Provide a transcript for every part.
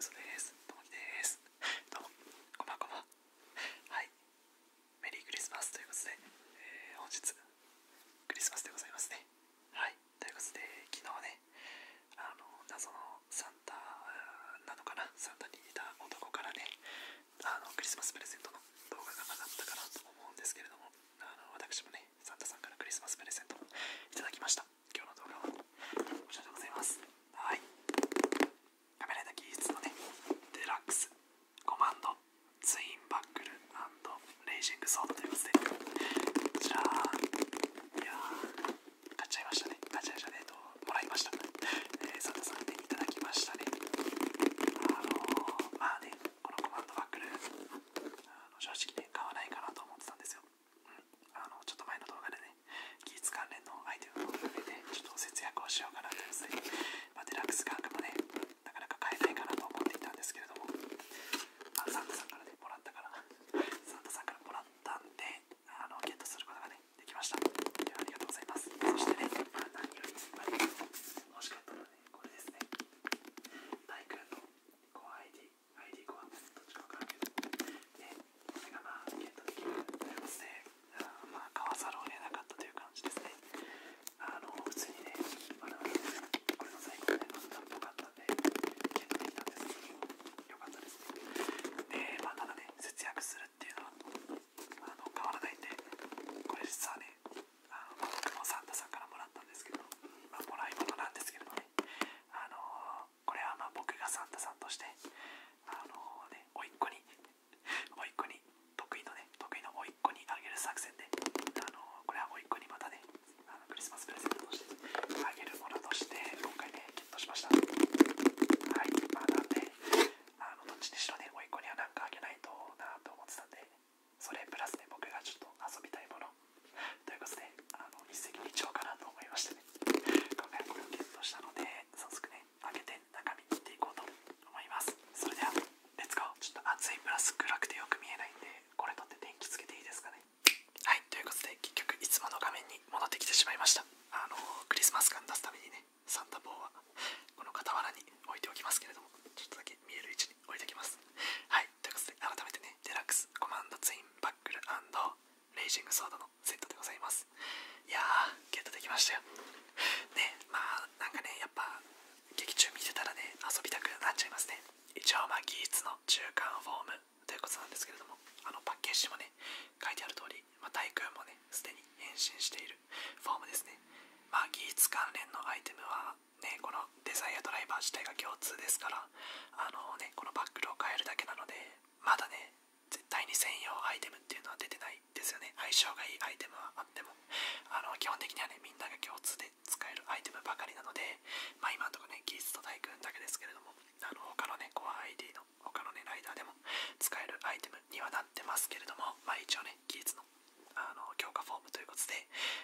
嘘ですともきですどうもこんばんこはいメリークリスマスということで、え本日クリスマスでございますねはいということで昨日ねあの謎のサンタなのかなサンタに似た男からねあのクリスマスプレゼントの動画が上がったかなと思うんですけれどもあの私もねサンタさんからクリスマスプレゼントをいただきました今日の動画はこちらでございますはいカメラの技術のねデラックスコマンドツインバックルレイジングソードということでこちら！いや買っちゃいましたね買っちゃいましたねともらいました、えー、サンタさんに、いただきましたねあのまあねこのコマンドバックルあの正直ね買わないかなと思ってたんですよ、うん、あのちょっと前の動画でねね技術関連のアイテムも含めてちょっと節約をしようかなとですね、まデラックス感覚もねなかなか買えないかなと思っていたんですけれどもあサンタさんからねもらったからサンタさんからもらったんであのゲットすることがねできましたでありがとうございますそしてね、まあ、何より、まあ、欲しかったのはねこれですね大君の ID コアどっちかわからけど、ね、それがまあゲットできるというあま買わざるを得なかったという感じですね。あの普通にね、まだ、あ、これの最後でまだっぽかったんでゲットできたんですけど、も良かったですで、まあ、ただね、節約するっていうのはあの変わらないんで、これ実はね、あの僕もサンタさんからもらったんですけど、まもらい物なんですけれどね、あのこれはまあ僕がサンタさんとして、あのね、おいっ子に、おいっ子に、得意のね、得意のおいっ子にあげる作戦で、あのこれはおいっ子にまたね、あのクリスマスプレゼントとしてあげるものとして、今回ね、ゲットしました。はい、まあなんで、あのどっちにしろね、おいっ子にはなんかあげないとなと思ってたんで、それプラスね、僕がちょっと遊びたいもの。ということで、あの一石二鳥かなと思いましてね、今回これをゲットしたので、早速ね、開けて中身切っていこうと思いますそれではレッツゴーちょっと暑いプラス暗くてよく見えないんでこれ取って電気つけていいですかねはいということで結局いつもの画面に戻ってきてしまいましたあのクリスマス感出すためにねサンタ帽はこの傍らに置いておきますけれどもちょっとだけ見える位置に置いておきますはいということで改めてねデラックスコマンドツインバックルレイジングソードのセットでございますいやーゲットできましたよねまあなんかねやっぱ劇中見てたらね遊びたくなっちゃいますね一応まあ技術の中間フォームということなんですけれどもあのパッケージもね書いてある通り、まあ、タイクーンもねすでに変身しているフォームですねまあ技術関連のアイテムはねこのデザイアドライバー自体が共通ですからあのねこのバックルを変えるだけなのでまだね絶対に専用アイテムっていうのは出てないですよね相性がいいアイテムはあってもあの基本的にはねみんなが共通で使えるアイテムばかりなのでま今のところねギーと大君だけですけれどもあの他のねコア ID の他のねライダーでも使えるアイテムにはなってますけれどもまあ一応ね技術のあの強化フォームということで、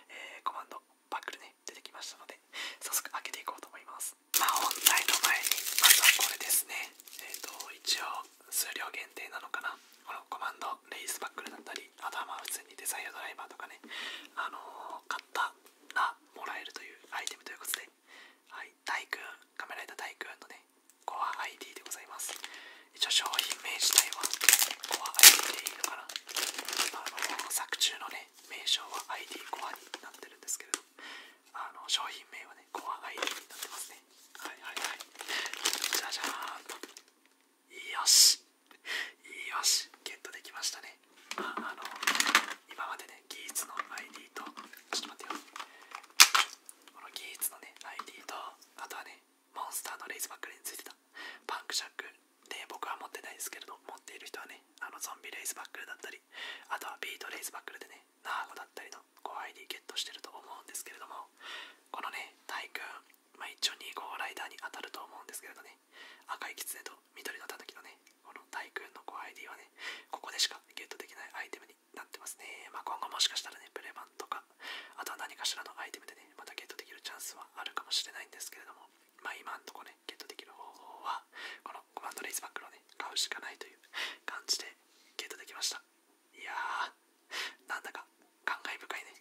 えコマンドバックルね出てきましたので早速開けていこうと思いますまあ本題の前にまずはこれですねえっ、と一応数量限定なのかなこのコマンドレイスバックルだったりあとはまあ普通にデザイアドライバーとかねあの買ったらもらえるというアイテムということではい大君カメライダー大君のねコア ID でございます一応商品名自体はコア ID でいいのかなあの作中のね名称は ID コアになってるんですけれどあの商品名はねコア ID になってますねはいはいはいじゃじゃーんとよしよしゲットできましたねまああの今までねギーツの ID とちょっと待ってよこのギーツのね ID とあとはねモンスターのレイズバックルについてたパンクシャックで僕は持ってないですけれど持っている人はねあのゾンビレイズバックルだったりあとはビートレイズバックルでねナーゴだったりのこ ID ゲットしてると思うんですけれどもこのねタイ君、まあ、一応にこライダーに当たると思うんですけれどね赤いキツネと緑のたたきのねこのタイ君の5 ID はねここでしかゲットできないアイテムになってますね、ま今後もしかしたらねプレバンとかあとは何かしらのアイテムでねまたゲットできるチャンスはあるかもしれないんですけれどもま今んとこねゲットできる方法はこのコマンドレイズバックのね買うしかないという感じでゲットできましたいやーなんだか感慨深いね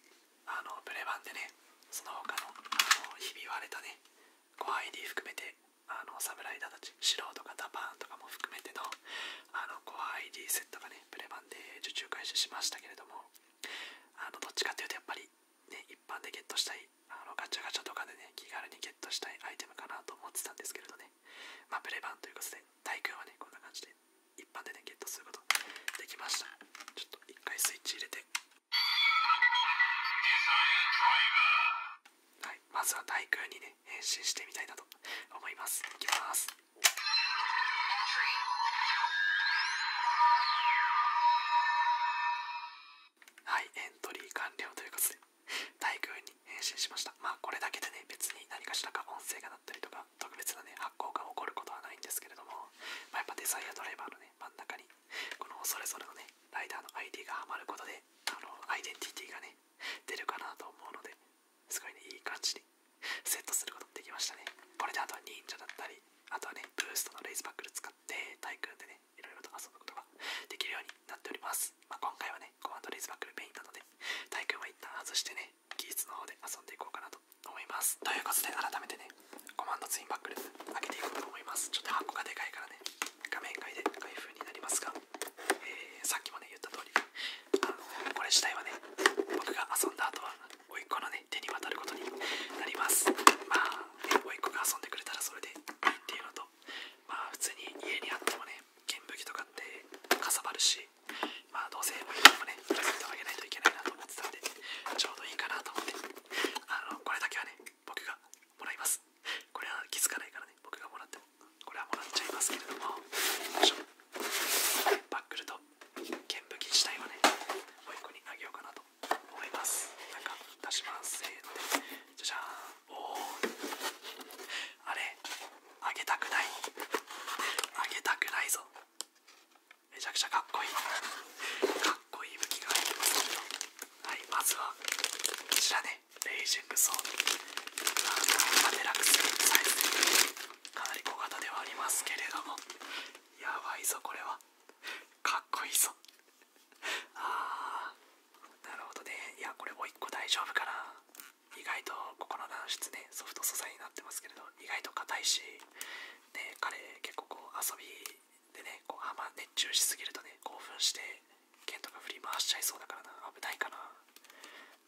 あのプレバンでねその他のあのひび割れたね ID 含めてあの侍だたち素人かダパーンとかも含めてのあの ID セットがねプレバンで受注開始しましたけれどもあのどっちかっていうとやっぱりね一般でゲットしたいあのガチャガチャとかでね気軽にゲットしたいアイテムかなと思ってたんですけれどねまあ、プレ版ということで、対空はね、こんな感じで、一般でゲットすることできました。ちょっと一回スイッチ入れて。はい、まずは対空にね、変身してみたいなと思います。いきます。はい、エントリー完了ということで、大空に変身しました。まあこれだけでね、別に何かしらか音声が鳴ったりとか、特別なね、発光が起こることはないんですけれども、まやっぱデザイアドライバーのね、真ん中に、このそれぞれのね、ライダーの ID がハマることで、あの、アイデンティティがね、出るかなと思うので、すごいね、いい感じにセットすることできましたね。これであとは忍者だったり、あとはね、ブーストのレイズバックル使って、対空でね、いろいろと遊ぶことができるようになっております。まあ、今回はね、コマンドレイズバックルペインなので、タイ君は一旦外してね、技術の方で遊んでいこうかなと思います。ということで、改めてね、コマンドツインバックル開けていこうと思います。ちょっと箱がでかいからね、画面外で開封になりますが、えー、さっきもね、言った通り、あのこれ自体はね、僕が遊んだ後は、おいっ子のね、手に渡ることになります。まあ、おいっ子が遊んでくれたらそれでいいっていうのと、まあ、普通に家にあってもね、剣武器とかってかさばるし、まあどうせ毎日もねプレゼントあげないといけないなと思ってたんでちょうどいいかなと思ってあのこれだけはね僕がもらいますこれは気づかないからね僕がもらってもこれはもらっちゃいますけれどもよいしょバックルと剣武器自体はねもう一個にあげようかなと思いますなんか出しますせーのでじゃじゃーんおおあれあげたくないあげたくないぞめちゃくちゃかっこいいかっこいい武器が入ってますけどはいまずはこちらねレイジングソードまあデラックスサイズかなり小型ではありますけれどもやばいぞこれはかっこいいぞああなるほどねいやこれもう1個大丈夫かな意外とここの軟質ねソフト素材になってますけれど意外と硬いし、ね、彼結構こう遊びでねこうあんま熱中しすぎるとね興奮して剣とか振り回しちゃいそうだからな危ないかな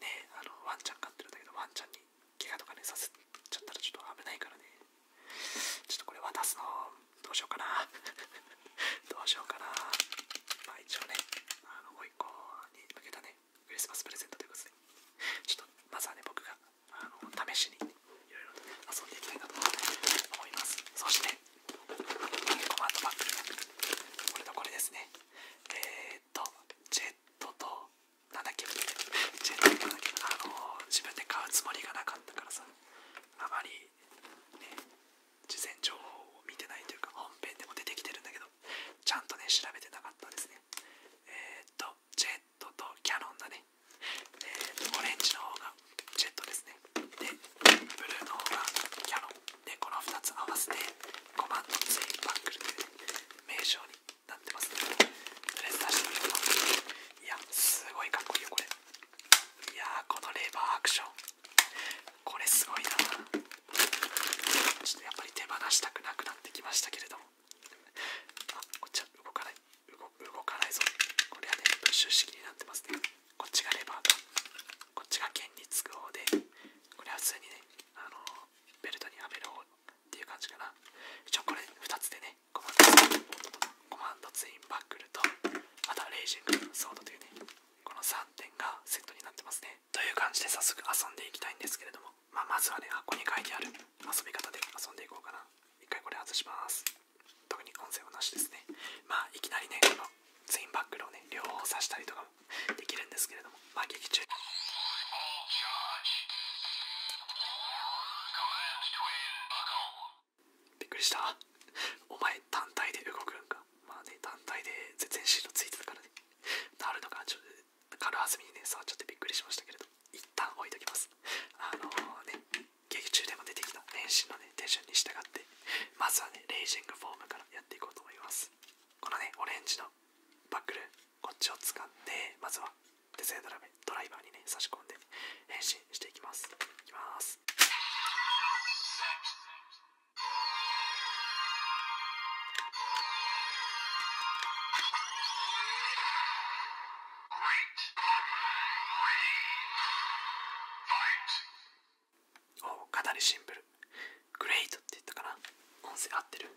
ねあのワンちゃん飼ってるんだけどワンちゃんに怪我とかねさせちゃったらちょっと危ないからねちょっとこれ渡すのどうしようかな どうしようかなまあ一応ねあのもう一個に向けたねクリスマスプレゼントということで、ちょっとまずはね、僕が試しにいろいろと遊んでいきたいなと思います。そして、コマンドバックこれとこれですね。えっと、ジェットと、なんだっけ、ジェットとなんだっジェットとなんだっあの自分で買うつもりがなかったからさ、あまりね、事前情報を見てないというか、本編でも出てきてるんだけど、ちゃんとね、調べてなかったですね。えっと、ジェットとキャノンだね。えっと、オレンジの方がジェットですね。で、ブルーの方がキャノン。で、この2つ合わせて5万のツインバックルという、名称になってますね。とりあえず出してみよういや、すごいかっこいいよ、これ。いやー、このレバーアクション。これすごいな。ちょっとやっぱり手放したくなくなってきましたけれどもあこっちは動かない動かないぞこれはねプッシュ式になってますねこっちがレバーかこっちが剣につく方でこれは普通にねあのベルトにはめる方っていう感じかな一応これ2つでねコマンドツインバックルとまたレイジングソードというねこの3点がセットになってますねという感じで早速遊んでいきたいんですけれども、まあ、まずはね箱に書いてある遊び方で遊んでいこうかな一回これ外します特に音声はなしですねまあいきなりねこのツインバックルをね両方さしたりとかもできるんですけれどもまあ劇中びっくりしたお前単体で動くんかまあね単体で全然シールついてたからねタオルとかちょっと軽はずみにね、触っちゃってびっくりしましたけれど、一旦置いときます。あのね、劇中でも出てきた練習のね、手順に従って、まずはね、レイジングフォームからやっていこうと思います。このね、オレンジのバックル、こっちを掴んで、まずはデ手製ドラメ、ドライバーにね、差し込んで、変身していきます。いきます。おか語りシンプルグレートって言ったかな音声合ってる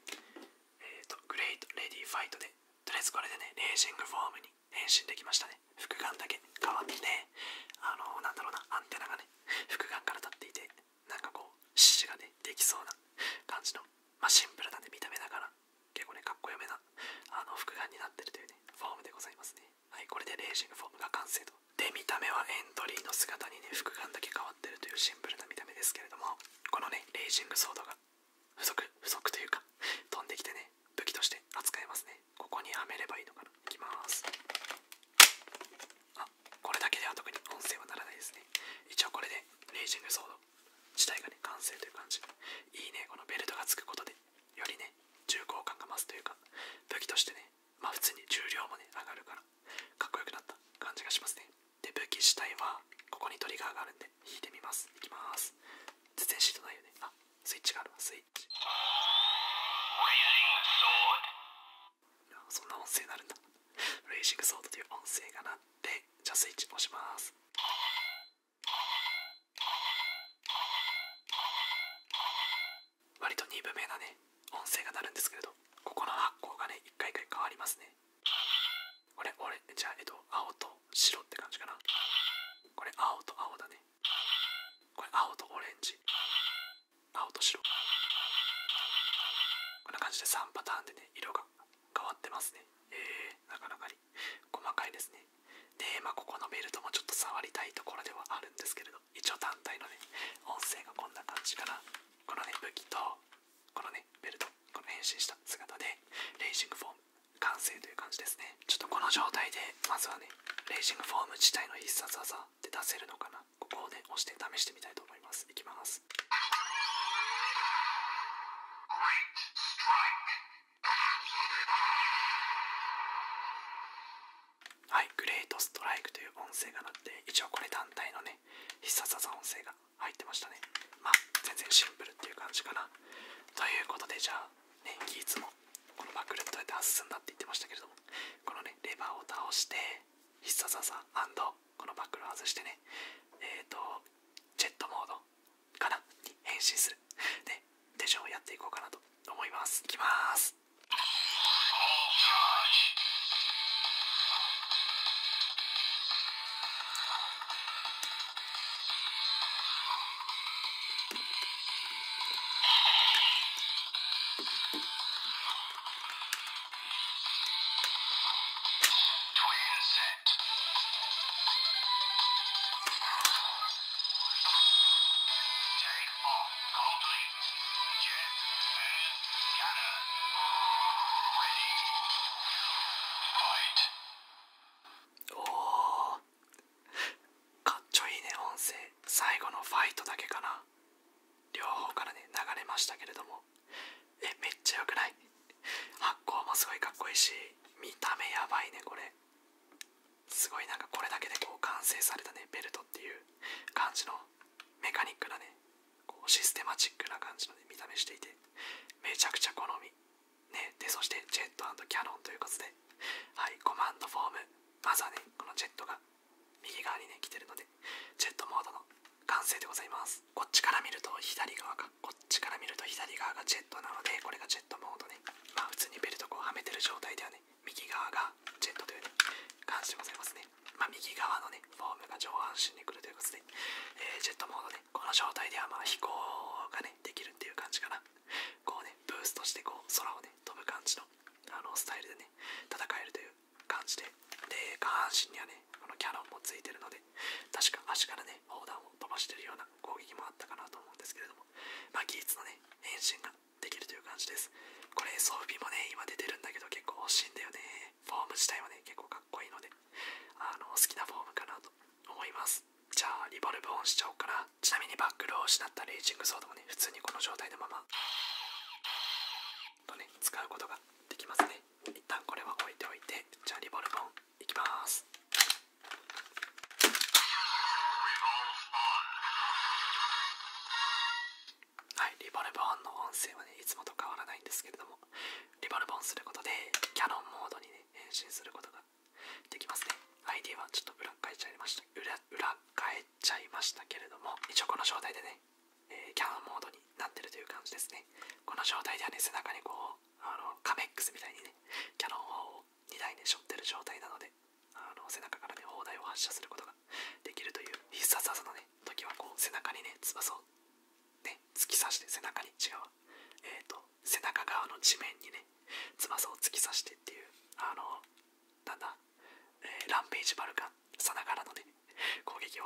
えっ、とグレートレディファイトでとりあえずこれでねレーシングフォームに変身できましたね副眼だけ変わってねあのー、なんだろうなアンテナがね副眼から立っていてなんかこう獅子がねできそうな感じの、まあ、シンプルな、ね、見た目だから結構ねかっこよめなあの複眼になってるというねフォームでございますねはいこれでレーシングフォームが完成とで見た目はエントリーの姿にね複眼だけ変わってるというシンプルな見た目ですけれどもこのねレーシングソードが付属付属というか飛んできてね武器として扱えますねここにはめればいいのかな行きますあこれだけでは特に音声はならないですね。一応これでレイジングソード自体がね、完成という感じ。いいね、このベルトがつくことで、よりね、重厚感が増すというか、武器としてね、まあ普通に重量もね、上がるから、かっこよくなった感じがしますね。で、武器自体は、ここにトリガーがあるんで、引いてみます。いきます。全然シートないよね。あ、スイッチがあるスイッチ。そんな音声になるんだ。ブレイシングソードという音声が鳴って、じゃあスイッチ押します。割と鈍めなね、音声が鳴るんですけれど、ここの発光がね、一回一回変わりますね。これ、俺、じゃあ、えっと、青と白って感じかな。これ、青と青だね。これ、青とオレンジ。青と白。こんな感じで3パターンでね、色が変わってますねえなかなかに細かいですねでまあここのベルトもちょっと触りたいところではあるんですけれど一応団体のね音声がこんな感じかなこのね武器とこのねベルトこの変身した姿でレイジングフォーム完成という感じですねちょっとこの状態でまずはねレイジングフォーム自体の必殺技って出せるのかなかここで押して試してみたいと思いますいきますはい「グレートストライク」という音声が鳴って一応これ団体のね必殺技音声が入ってましたねまあ全然シンプルっていう感じかなということでじゃあねギーツもこのバックルどうやって外すんだって言ってましたけれどもこのねレバーを倒して必殺技このバックルを外してね、えっ、と、ジェットモードかなに変身する。で、手順をやっていこうかなと思います。いきます。おかっちょいいね音声最後のファイトだけかな両方からね流れましたけれどもえめっちゃよくない発光もすごいかっこいいし見た目やばいねこれすごいなんかこれだけでこう完成されたねベルトっていう感じのメカニックなねこうシステマチックな感じの、ね、見た目していてめちゃくちゃ好みねでそしてジェットキャノンということではいコマンドフォームまずはねこのジェットが右側にね来てるのでジェットモードの完成でございますこっちから見ると左側かこっちから見ると左側がジェットなのでこれがジェットモードねまあ普通にベルトこうはめてる状態ではね右側がジェットというね感じでございますねまあ右側のねフォームが上半身に来るということで、えジェットモードねこの状態ではまあ飛行がねできるっていう感じかなこうねブーストしてこう空をね飛ぶ感じのあのスタイルでね戦えるという感じで、で、下半身にはね、このキャノンもついてるので、確か足からね、砲弾を飛ばしてるような攻撃もあったかなと思うんですけれども、まあ、技術のね、変身ができるという感じです。これ、装備もね、今出てるんだけど、結構欲しいんだよね。フォーム自体はね、結構かっこいいので、あの好きなフォームかなと思います。じゃあ、リボルブオンしちゃおうかな。ちなみにバックルを失ったレイジングソードもね、普通にこの状態のまま、とね、使うことができますね。一旦これは置いておいてじゃあリボルボンいきますはいリボルボンの音声はねいつもと変わらないんですけれどもリボルボンすることでキャノンモードにね変身することができますねアイ ID はちょっと裏変えちゃいました裏裏返っちゃいましたけれども一応この状態でねえキャノンモードになってるという感じですね。この状態ではね、背中にこう、あのカメックスみたいにね、キャノンを2台ね、背負ってる状態なので、あの背中からね、砲台を発射することができるという必殺技のね、時はこう、背中にね、翼を、ね、突き刺して、背中に違う、えっ、と、背中側の地面にね、翼を突き刺してっていう、あの、なんだ、えランページバルカンさながらのね、攻撃を。ね、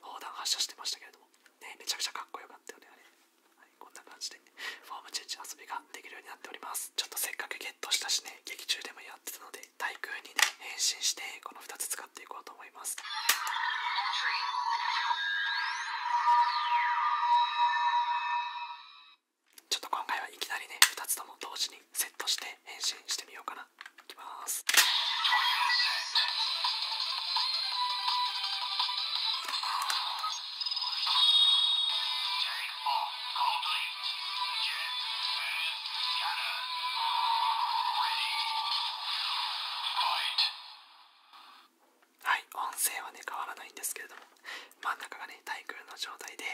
砲弾発射してましたけれども、ね、めちゃくちゃかっこよかったよね、あれ。こんな感じで、フォームチェンジ遊びができるようになっております。ちょっとせっかくゲットしたしね、劇中でもやってたので、対空に、ね、変身して、この2つ使っていこうと思います。ちょっと今回はいきなりね2つとも同時にセットして変身してみようかなはい音声はね変わらないんですけれども真ん中がねタイクーンの状態で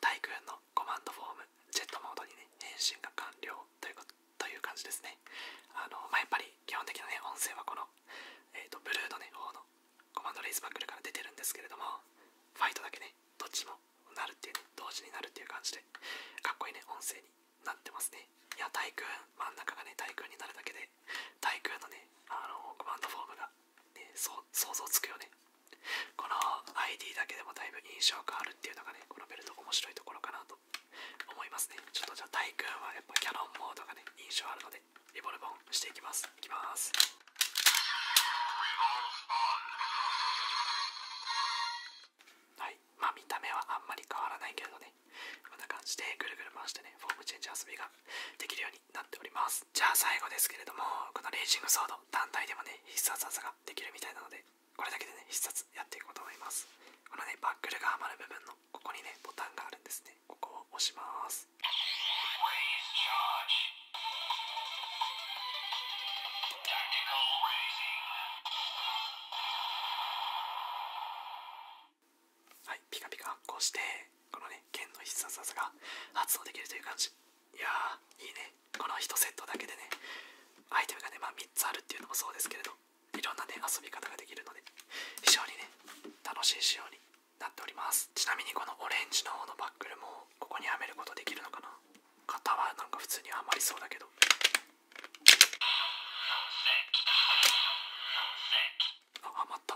タイクーンのコマンドフォームジェットモードにね変身が完了ということという感じですね。あのまやっぱり基本的な、ね、音声はこの、えー、とブルーの、ね、方のコマンドレイズバックルから出てるんですけれども、ファイトだけね、どっちもなるっていう、ね、同時になるっていう感じで、かっこいいね、音声になってますね。いや、対空、真ん中がね、対空になるだけで、対空のね、あのコマンドフォームが、ね、想像つくよね。この ID だけでもだいぶ印象があるっていうのがね、このベルト面白いところかなと思いますね。ちょっとじゃあ、大君はやっぱキャノンモードがね、印象あるので、リボルボンしていきます。いきます。はい、まあ見た目はあんまり変わらないけれどね、こんな感じでぐるぐる回してね、フォームチェンジ遊びができるようになっております。じゃあ最後ですけれども、このレイジングソード、単体でもね、必殺技ができるみたいなので、これだけでね、必殺やっていこうと思います。このね、バックルが余る部分のここにね、ボタンがあるんですね。ここを押します。はい、ピカピカ発光して、このね、剣の必殺技が発動できるという感じ。いやいいね。この1セットだけでね、アイテムがね、まあ3つあるっていうのもそうですけれど、いろんなね遊び方ができるので非常にね楽しい仕様になっておりますちなみにこのオレンジのほうのバックルもここにはめることできるのかな型はなんか普通にはまりそうだけどあはまった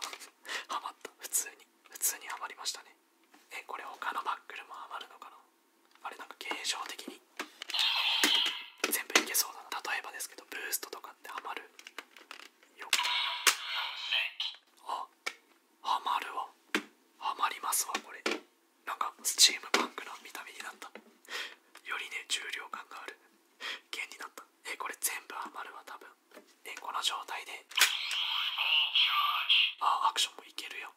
はまった普通に普通にはまりましたねえこれ他のバックルもはまるのかなあれなんか形状的に全部いけそうだな例えばですけどブーストとかってハマるよあハマるわハマりますわこれなんかスチームパンクな見た目になったよりね重量感がある弦になったえこれ全部ハマるわ多分えこの状態であアクションもいけるよ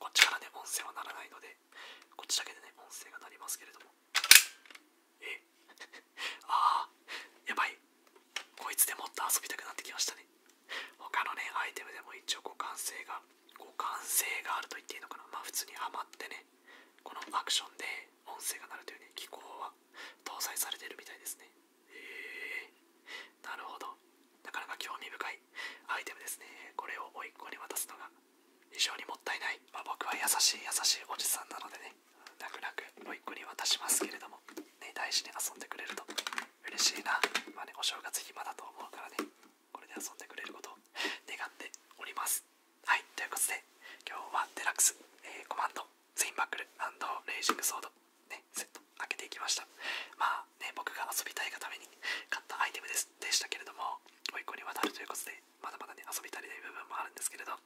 こっちからね音声は鳴らないのでこっちだけでね音声が鳴りますけれどもえ ああやばいこいつでもっと遊びたくなってきましたね他のねアイテムでも一応互換性が互換性があると言っていいのかなまあ普通にハマってねこのアクションで音声が鳴るというね機構は搭載されてるみたいですねへえなるほどなかなか興味深いアイテムですねこれを甥いっ子に渡すのが非常にもったいない、ま僕は優しい優しいおじさんなのでね泣く泣く甥っ子に渡しますけれども、ね、大事に遊んでくれると嬉しいな、まあね、お正月暇だと思うからねこれで遊んでくれることを願っておりますはいということで今日はデラックス、えー、コマンドツインバックルレイジングソード、ね、セット開けていきましたまあね僕が遊びたいがために買ったアイテムですでしたけれども甥っ子に渡るということでまだまだね、遊び足りない部分もあるんですけれど、あ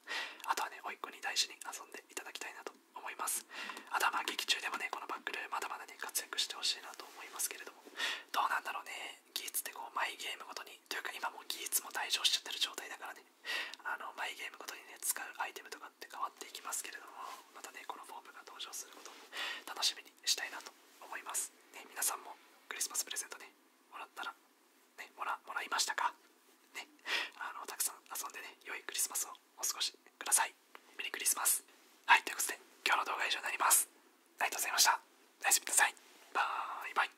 とはね、おいっ子に大事に遊んでいただきたいなと思います。あとはまあ劇中でもね、このバックルまだまだね、活躍してほしいなと思いますけれども、どうなんだろうね、技術ってこう、マイゲームごとに、というか今もう技術も退場しちゃってる状態だからね、あの、マイゲームごとにね、使うアイテムとかって変わっていきますけれども、またね、このフォームが登場することを楽しみにしたいなと思います。ね、皆さんもクリスマスプレゼントね、もらったらね、もらもらいましたか、ね、あのたくさん遊んでね、良いクリスマスをお過ごしください。メリークリスマス。はい、ということで、今日の動画は以上になります。ありがとうございました。おやすみなさい。バイバイ。